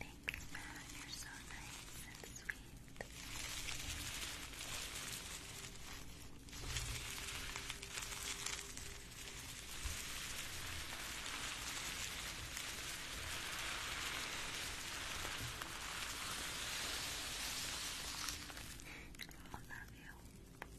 Thanks, Matt. You're so nice and sweet. I love you.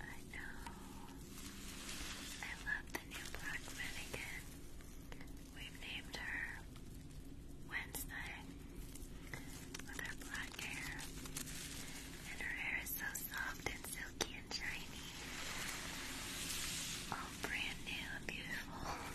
I know. I love the new black mannequin. We've named her Wednesday with her black hair. And her hair is so soft and silky and shiny. All brand new beautiful.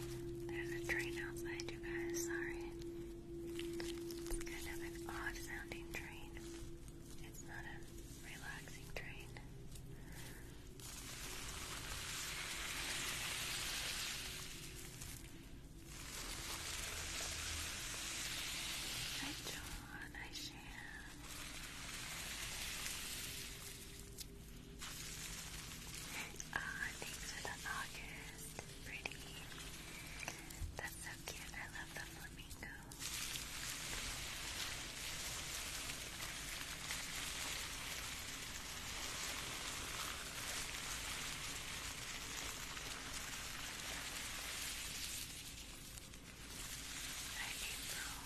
There's a train outside, you guys. Sorry. It's kind of an odd sounding train. It's not a relaxing train. Hi, John. Hi, Shan. Ah, uh, thanks for the August. Pretty. That's so cute. I love the flamingo. Hi, April.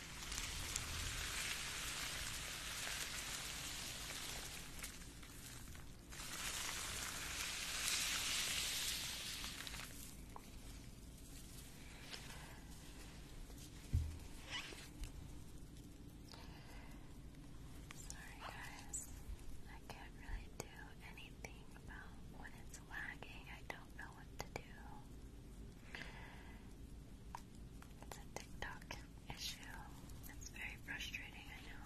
Sorry, guys. I can't really do anything about when it's lagging. I don't know what to do. It's a TikTok issue. It's very frustrating, I know.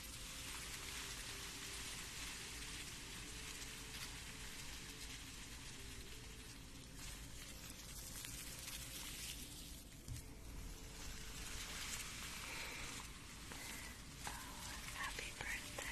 Oh, happy birthday. Happy birthday.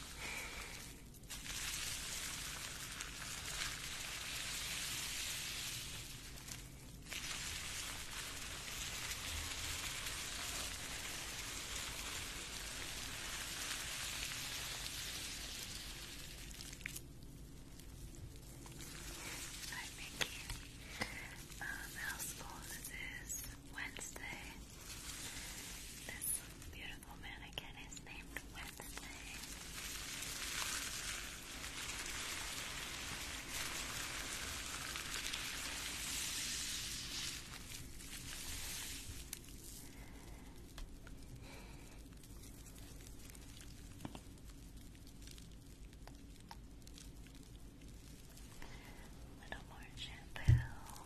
Hi Mickey. Um, how small is Wednesday. This beautiful mannequin is named Wednesday little more shampoo. Oh,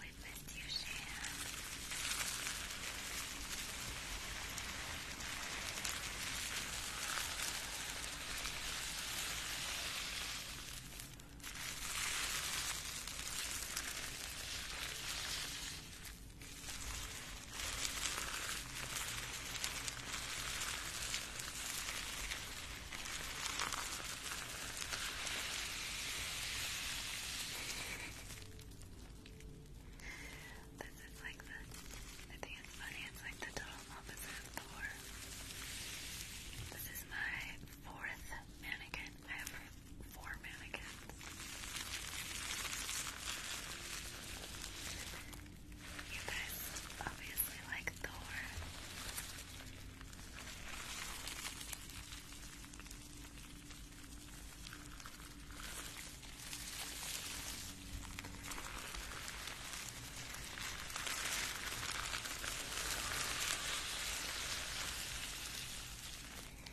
we've you, Shan. This is like the, I think it's funny, it's like the total opposite of Thor. This is my fourth mannequin I have four mannequins. You guys obviously like Thor.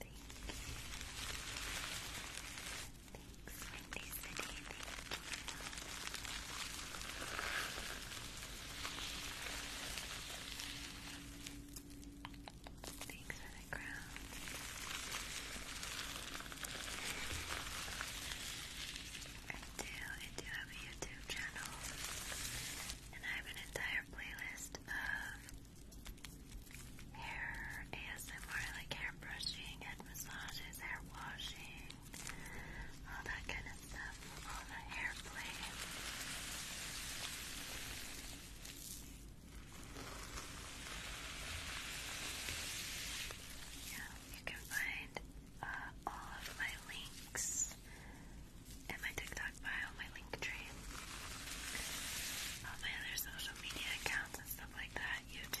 Thanks, Windy City. Thanks for the crown. I do, I do have a YouTube channel, and I have an entire playlist of hair ASMR, like hair brushing, head massages, hair washing, all that kind of stuff, all the hair play. Yeah, you can find uh, all of my links in my TikTok bio on my link tree. All my other social media accounts and stuff like that, YouTube.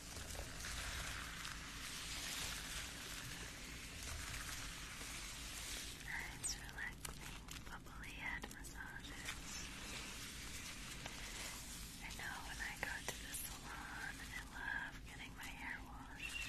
Nice relaxing bubbly head massages. I know when I go to the salon, I love getting my hair washed.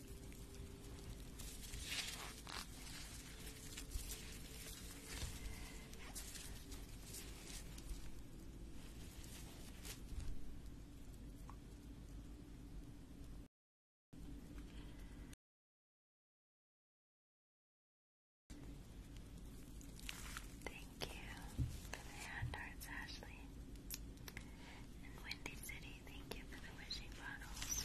Thank you for the hand hearts, Ashley. And Windy City, thank you for the wishing bottles.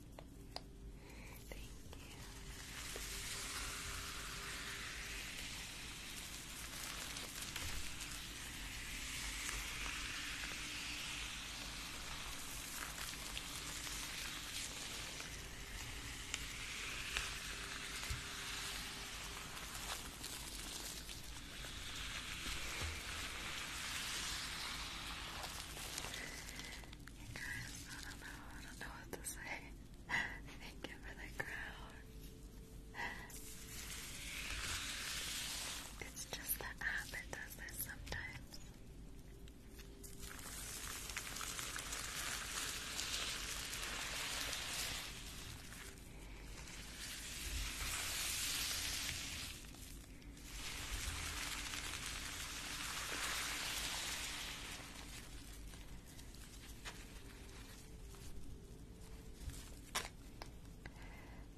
Thank you. You guys, I don't know, I don't know what to say. Thank you for the crown. It's just the app that does this sometimes.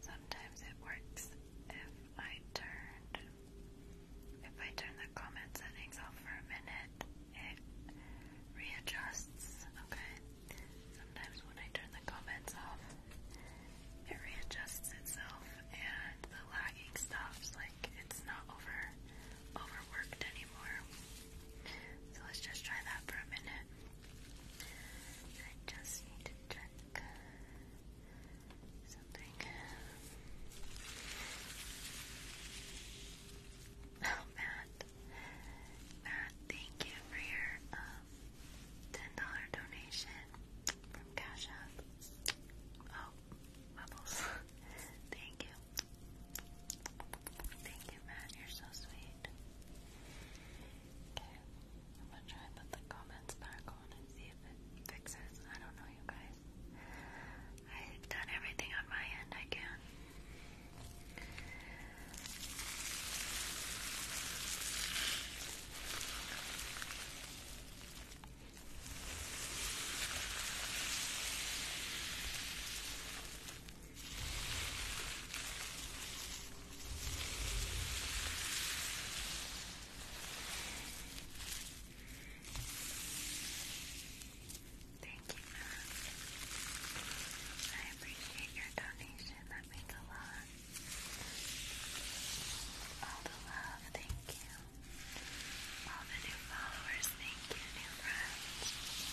Sometimes it works if I turned if I turn the comment settings off for a minute, it readjusts. Okay. Sometimes when I turn the comments off, it readjusts itself and the lagging stops like it's not over overworked anymore. So let's just try that for a minute. I just need to check something. Oh, Matt. Matt, thank you for your um, $10 donation from Cash App. Oh, Bubbles. thank you. Thank you, Matt. You're so sweet. Okay, I'm gonna try put the comments back on and see if it fixes. I don't know, you guys. I've done everything on my end I can. Thank you, Matt. I appreciate your donation. That means a lot. All the love. Thank you. All the new followers, thank you, new friends.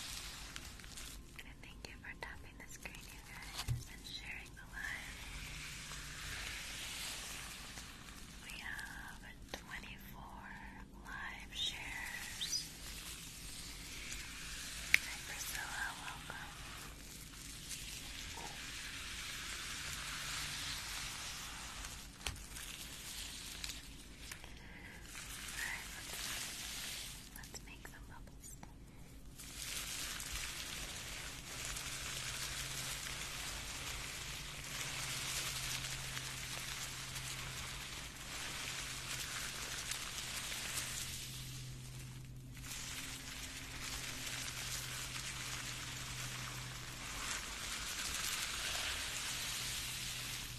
And thank you for tapping the screen, you guys, and sharing the live. We have 24 live shares. Hi, Priscilla, welcome. Alright, let's, let's make some bubbles. All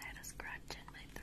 I had a scratch in my throat.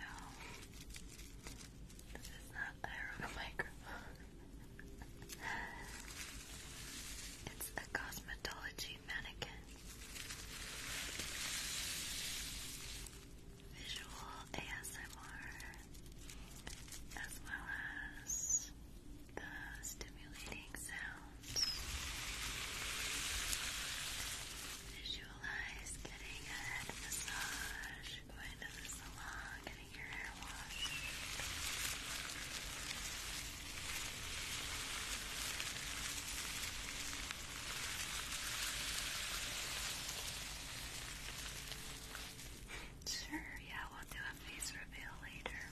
No, this is not a microphone. it's a cosmetology mannequin. Visual ASMR as well as the stimulating sounds. Visualize getting a head massage, going to the salon, getting your hair washed. Sure, yeah, we'll do a face reveal later.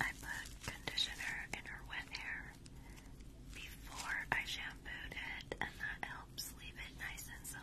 I put conditioner in her wet hair before I shampooed it, and that helps leave it nice and soft.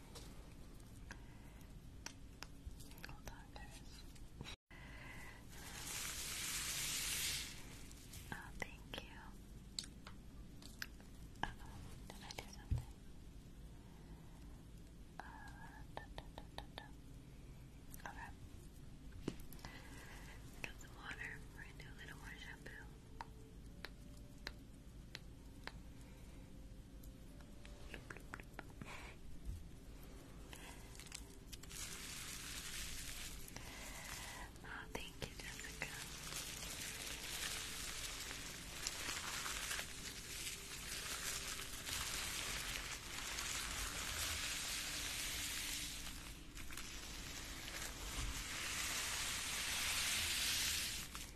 Oh, thank you. did I do something? Okay. Got some water. We're gonna do a little more shampoo. Oh, thank you, Jessica.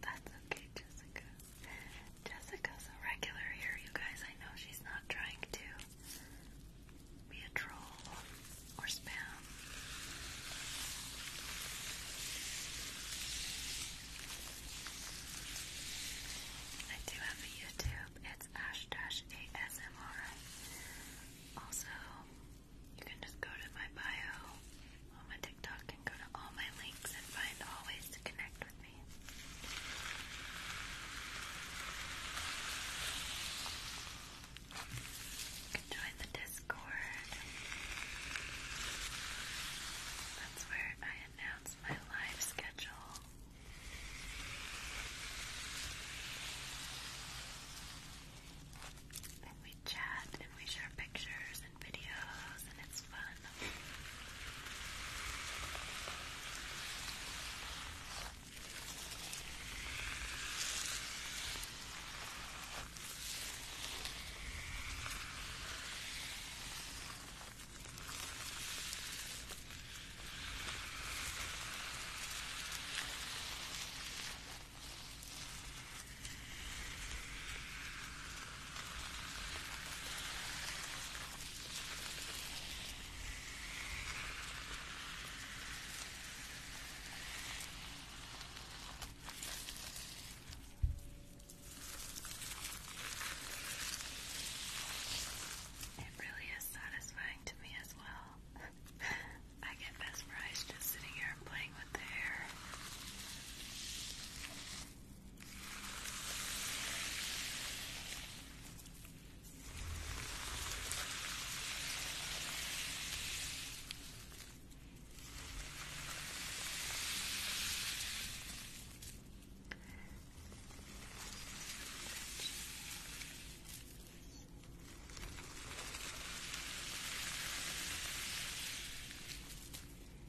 That's okay, Jessica. Jessica's a regular here, you guys. I know she's not trying to be a troll or spam. I do have a YouTube. It's ash dash ASMR. Also, you can just go to my bio on my TikTok and go to all my links and find all ways to connect with me. join the Discord. That's where I announce my live schedule chat and we share pictures and videos, and it's fun. It really is satisfying to me as well. I get mesmerized just sitting here playing playing with the hair. Touching. I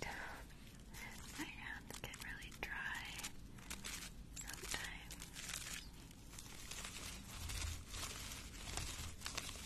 don't. My hands get really dry sometimes.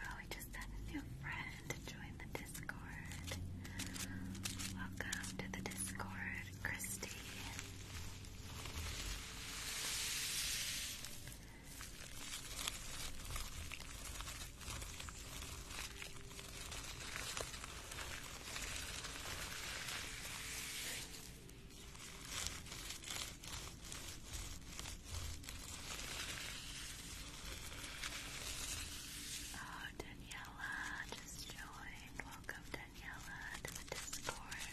Oh, we just had a new friend join the Discord. Welcome to the Discord, Christy. Oh, Daniela just joined. Welcome, Daniela, to the Discord.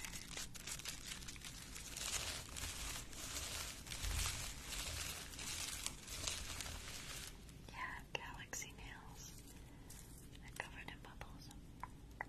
Yeah, galaxy nails. covered in bubbles.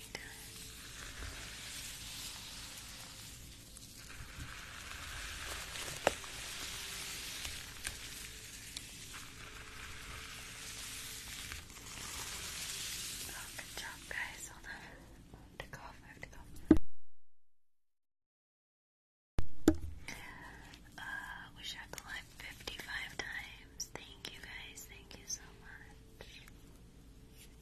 Oh, good job, guys. Uh, I have to cough. I have to cough. we shot the live 55 times. Thank you, guys. Thank you so much.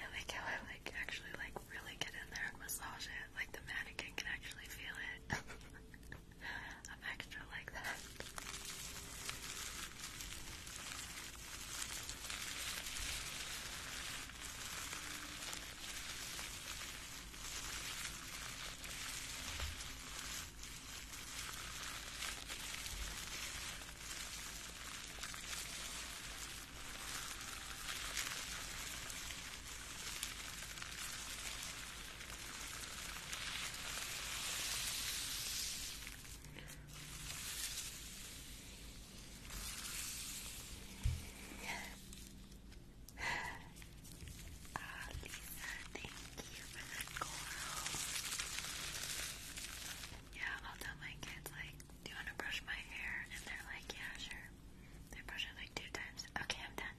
I like how I like actually like really get in there and massage it. Like the mannequin can actually feel it. I'm extra like that. Ah, thank you for Yeah, I'll tell my kids, like, do you want to brush my hair? And they're like, yeah, sure. They brush it like two times. Okay, I'm done.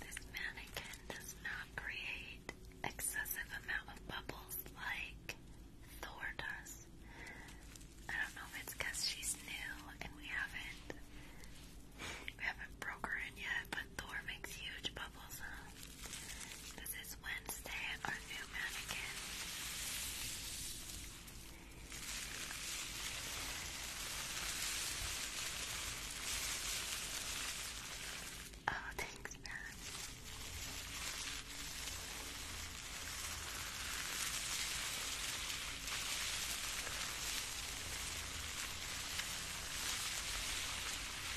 This mannequin does not create excessive amount of bubbles like Thor does. I don't know if it's because she's new and we haven't we haven't broke her in yet, but but Thor makes huge bubbles, huh? This is Wednesday, our new mannequin. Oh, thanks, man.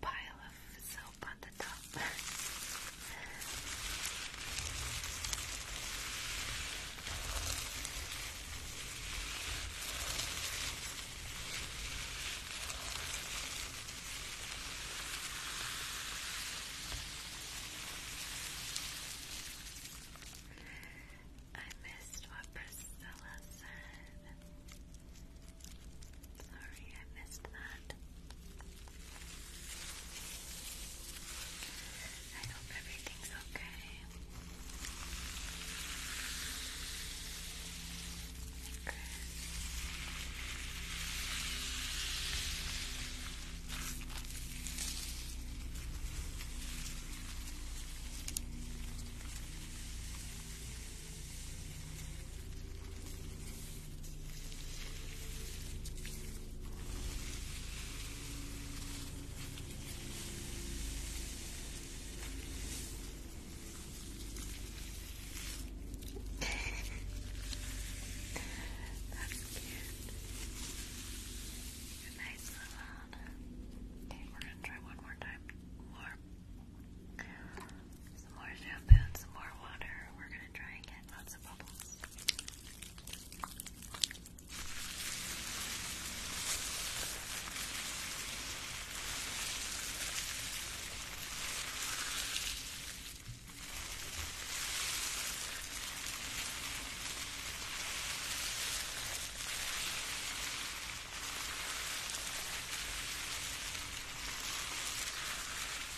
pile of soap on the top. I missed what Priscilla said. Sorry, I missed that. I hope everything's okay. Okay. That's cute. A nice little one. Okay, we're gonna try one more time. More. Some more shampoo some more water. We're gonna try and get lots of bubbles.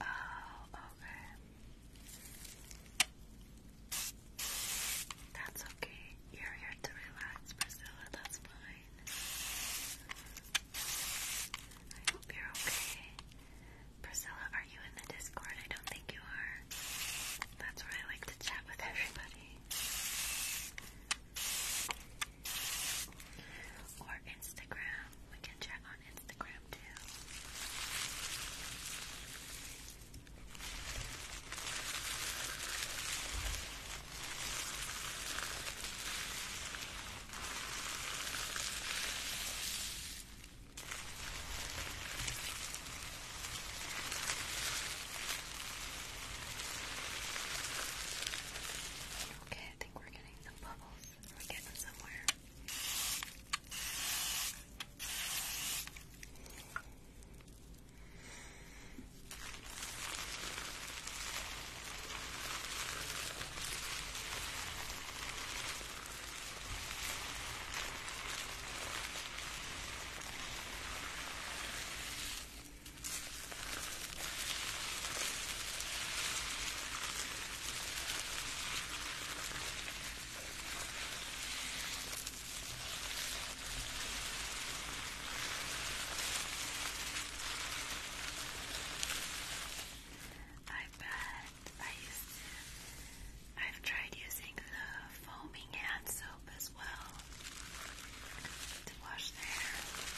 Oh, okay. That's okay. You're here to relax, Priscilla. That's fine. I hope you're okay. Priscilla, are you in the Discord? I don't think you are. That's where I like to chat with everybody. Or Instagram. We can check on Instagram too. Okay, I think we're getting some bubbles are we getting somewhere? Okay. I bet have tried using the foaming hand soap as well to wash the hair.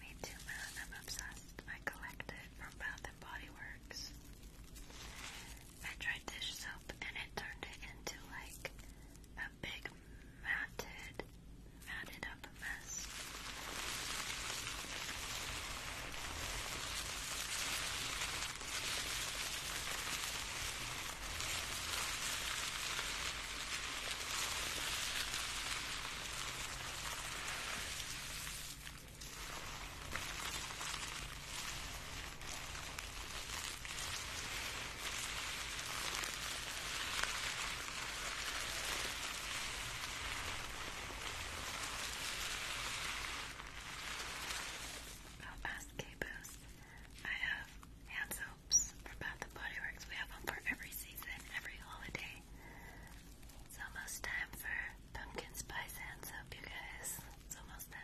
Me too, man. I'm obsessed. I collect it from Bath and Body Works. I tried dish soap and it turned it into like a big matted, matted up mess. I'll ask Caboose. I have hand soaps for Bath and Body Works. We have them for every season, every holiday. It's almost time for pumpkin spice hand soap, you guys. It's almost time.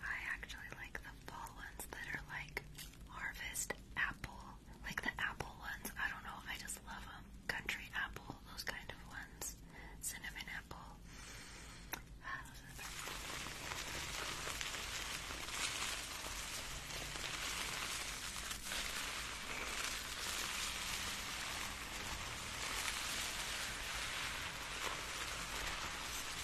I actually like the fall ones that are like harvest apple, like the apple ones. I don't know, I just love them. Country apple, those kind of ones. Cinnamon apple. Ah, those are the best. All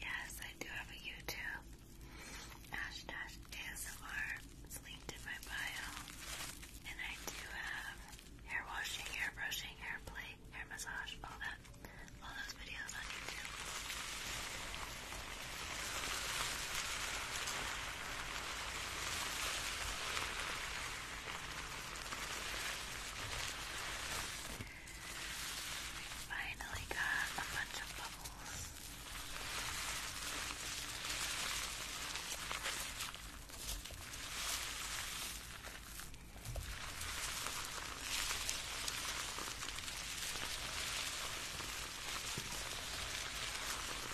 Yes, I do have a YouTube. Ash Dash linked in my bio. And I do have hair washing, hair brushing, hair play, hair massage, all that. All those videos on YouTube finally got a bunch of bubbles.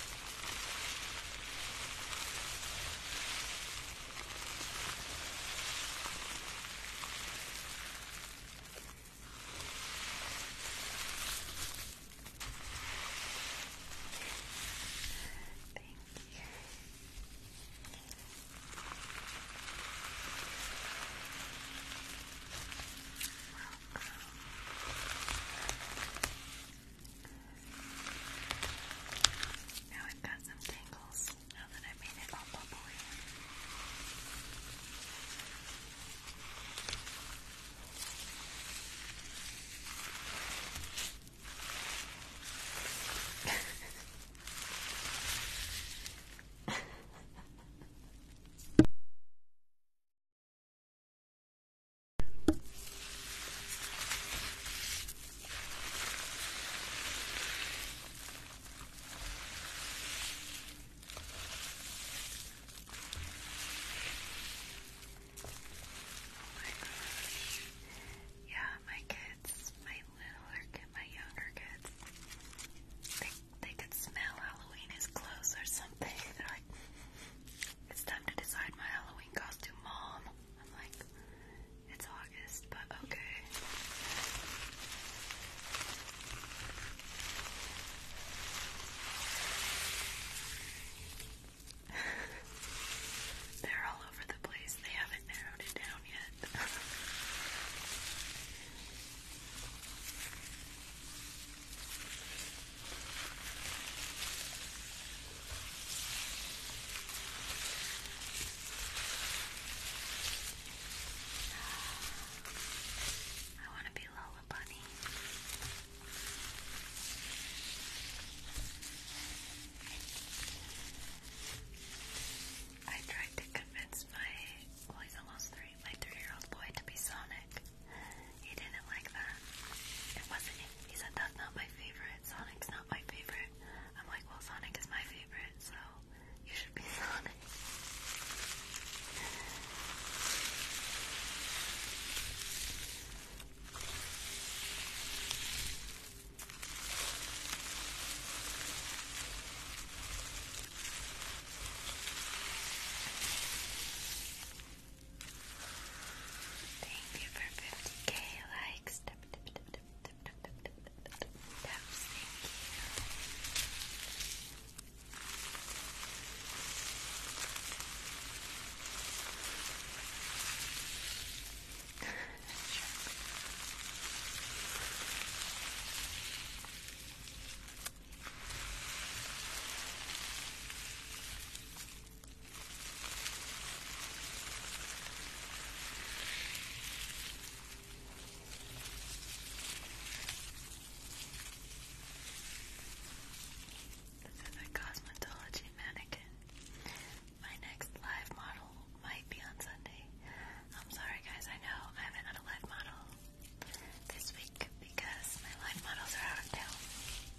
All Thank you. Welcome. Now I've got some tangles now that I made it all bubbly. Oh gosh. Yeah, my kids, my littler kids, my younger kids, they, they could smell Halloween is close or something. They're like, it's time to decide my Halloween costume, Mom. I'm like, it's August, but okay. They're all over the place. They haven't narrowed it down yet. I want to be Lola Bunny. I tried to convince my, well, he's almost three, my three-year-old boy to be Sonic. He didn't like that. It wasn't. He said that's not my favorite. Sonic's not my favorite. I'm like, well, Sonic is my favorite, so you should be Sonic. Thank you for 50k likes. Thank you. This is a cosmetology mannequin. My next live model might be on Sunday. I'm sorry, guys, I know I haven't had a live model this week because my live models are out of town smooth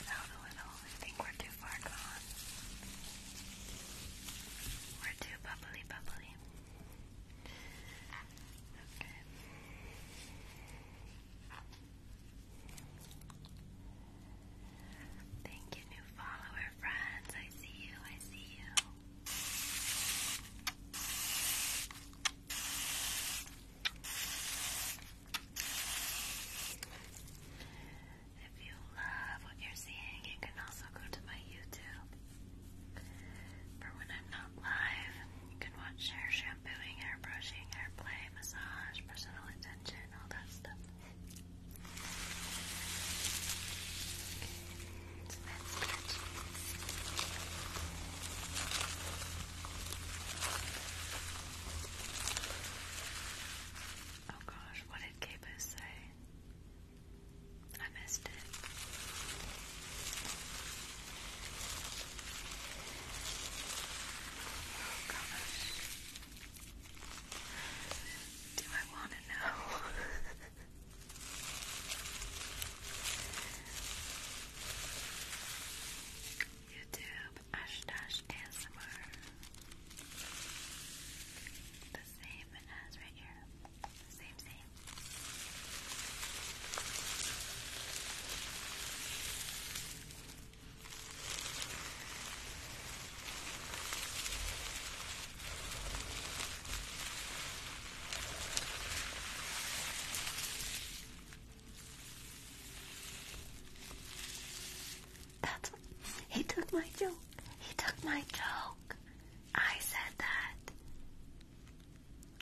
it out a little. I think we're too far gone. We're too bubbly, bubbly. Okay. Thank you, follower friends. I see you. I see you. If you love what you're seeing, you can also go to my YouTube. For when I'm not live, you can watch hair shampooing, hair brushing, hair play, massage, personal attention, all that stuff. Oh gosh, what did Capus say? I missed it. Oh gosh. Do I want to know? YouTube Ash The same as right here. Same, same. That's he took my joke. He took my joke. I said that.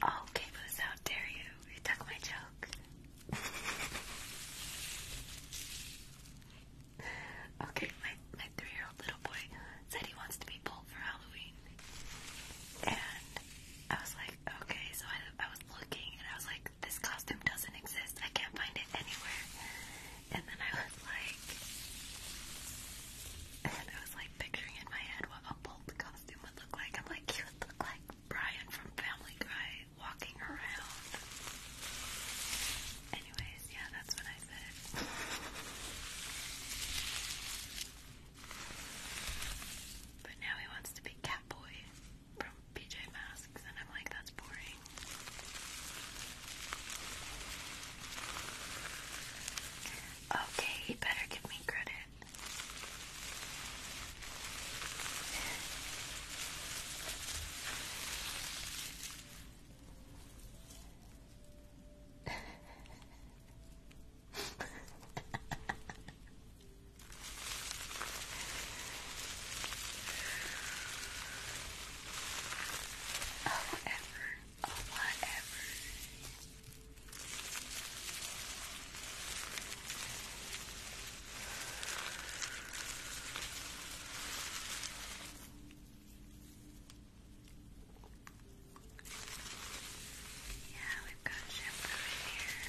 Oh, Caboose, how dare you? He took my joke. Okay, my, my three year old little boy said he wants to be pulled for Halloween. And I was like, okay, so I, I was looking and I was like, this costume doesn't exist. I can't find it anywhere. And then I was like, and I was like picturing in my head what a bolt costume would look like. I'm like, he would look like Brian from Family Guy walking around. Anyways, yeah, that's when I but now he wants to be Catboy from PJ Masks, and I'm like, that's boring. Okay, he better give me credit oh, whatever. Oh, whatever. Yeah, we've got shampoo here.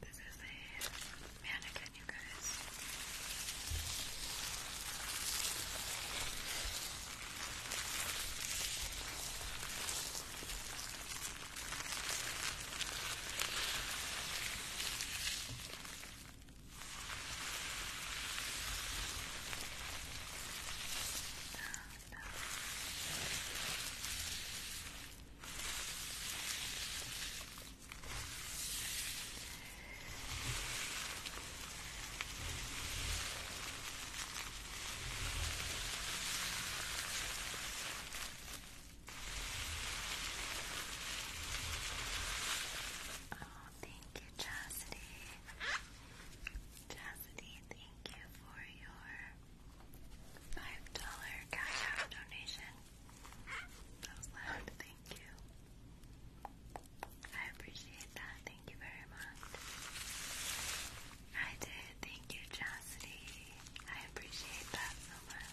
This is a mannequin, you guys thank you, Chastity. Chastity, thank you for your $5 cash donation. That was loud, thank you. I appreciate that. Thank you very much. I did. Thank you, Chastity. I appreciate that so much.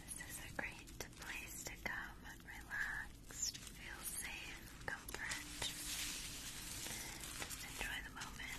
This is a great place to come and relax, feel safe, comfort. Just enjoy the moment.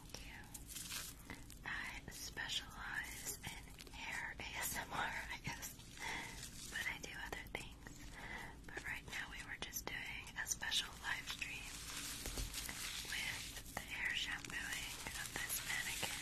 I specialize in hair ASMR, but I do other things. But right now we were just doing a special live stream with the hair shampooing of this mannequin.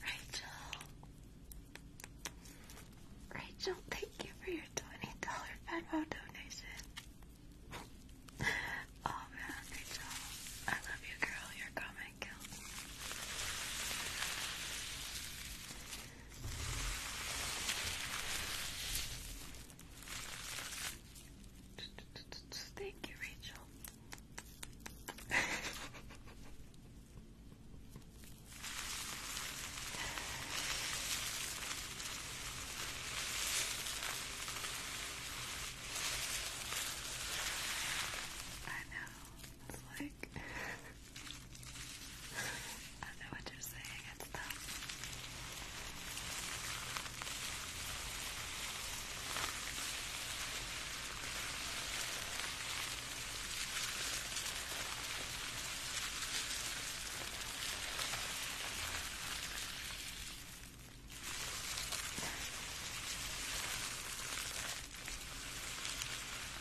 Rachel. Rachel, thank you for your $20 Venmo donation. oh man, Rachel. I love you, girl. Your comment kills. Thank you, Rachel. I know. It's like like I know what you're saying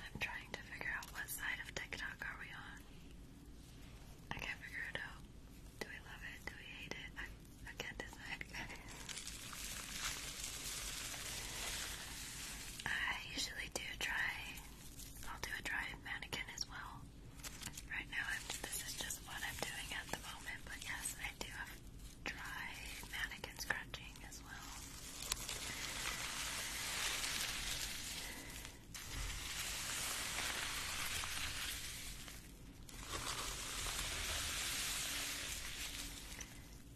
I'm trying to figure out what side of TikTok are we on. I can't figure it out. Do we love it? Do we hate it? I, can't decide. I usually do try. I'll do a dry mannequin as well. Right now, this is just what I'm doing at the moment. But yes, I do have try mannequin scratching as well.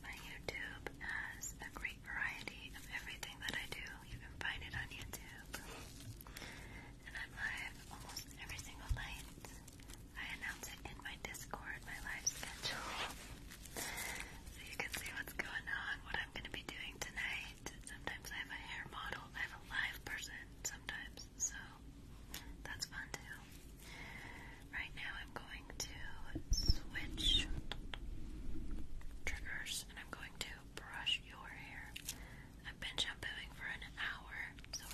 My YouTube has a great variety of everything that I do. You can find it on YouTube. And I'm live almost every single night. I announce it in my Discord, my live schedule. so you can see what's going on, what I'm going to be doing tonight. Sometimes I have a hair model, I have a live person sometimes, so that's fun too. Right now I'm going to switch triggers and I'm going to brush your hair. I've been shampooing for an hour,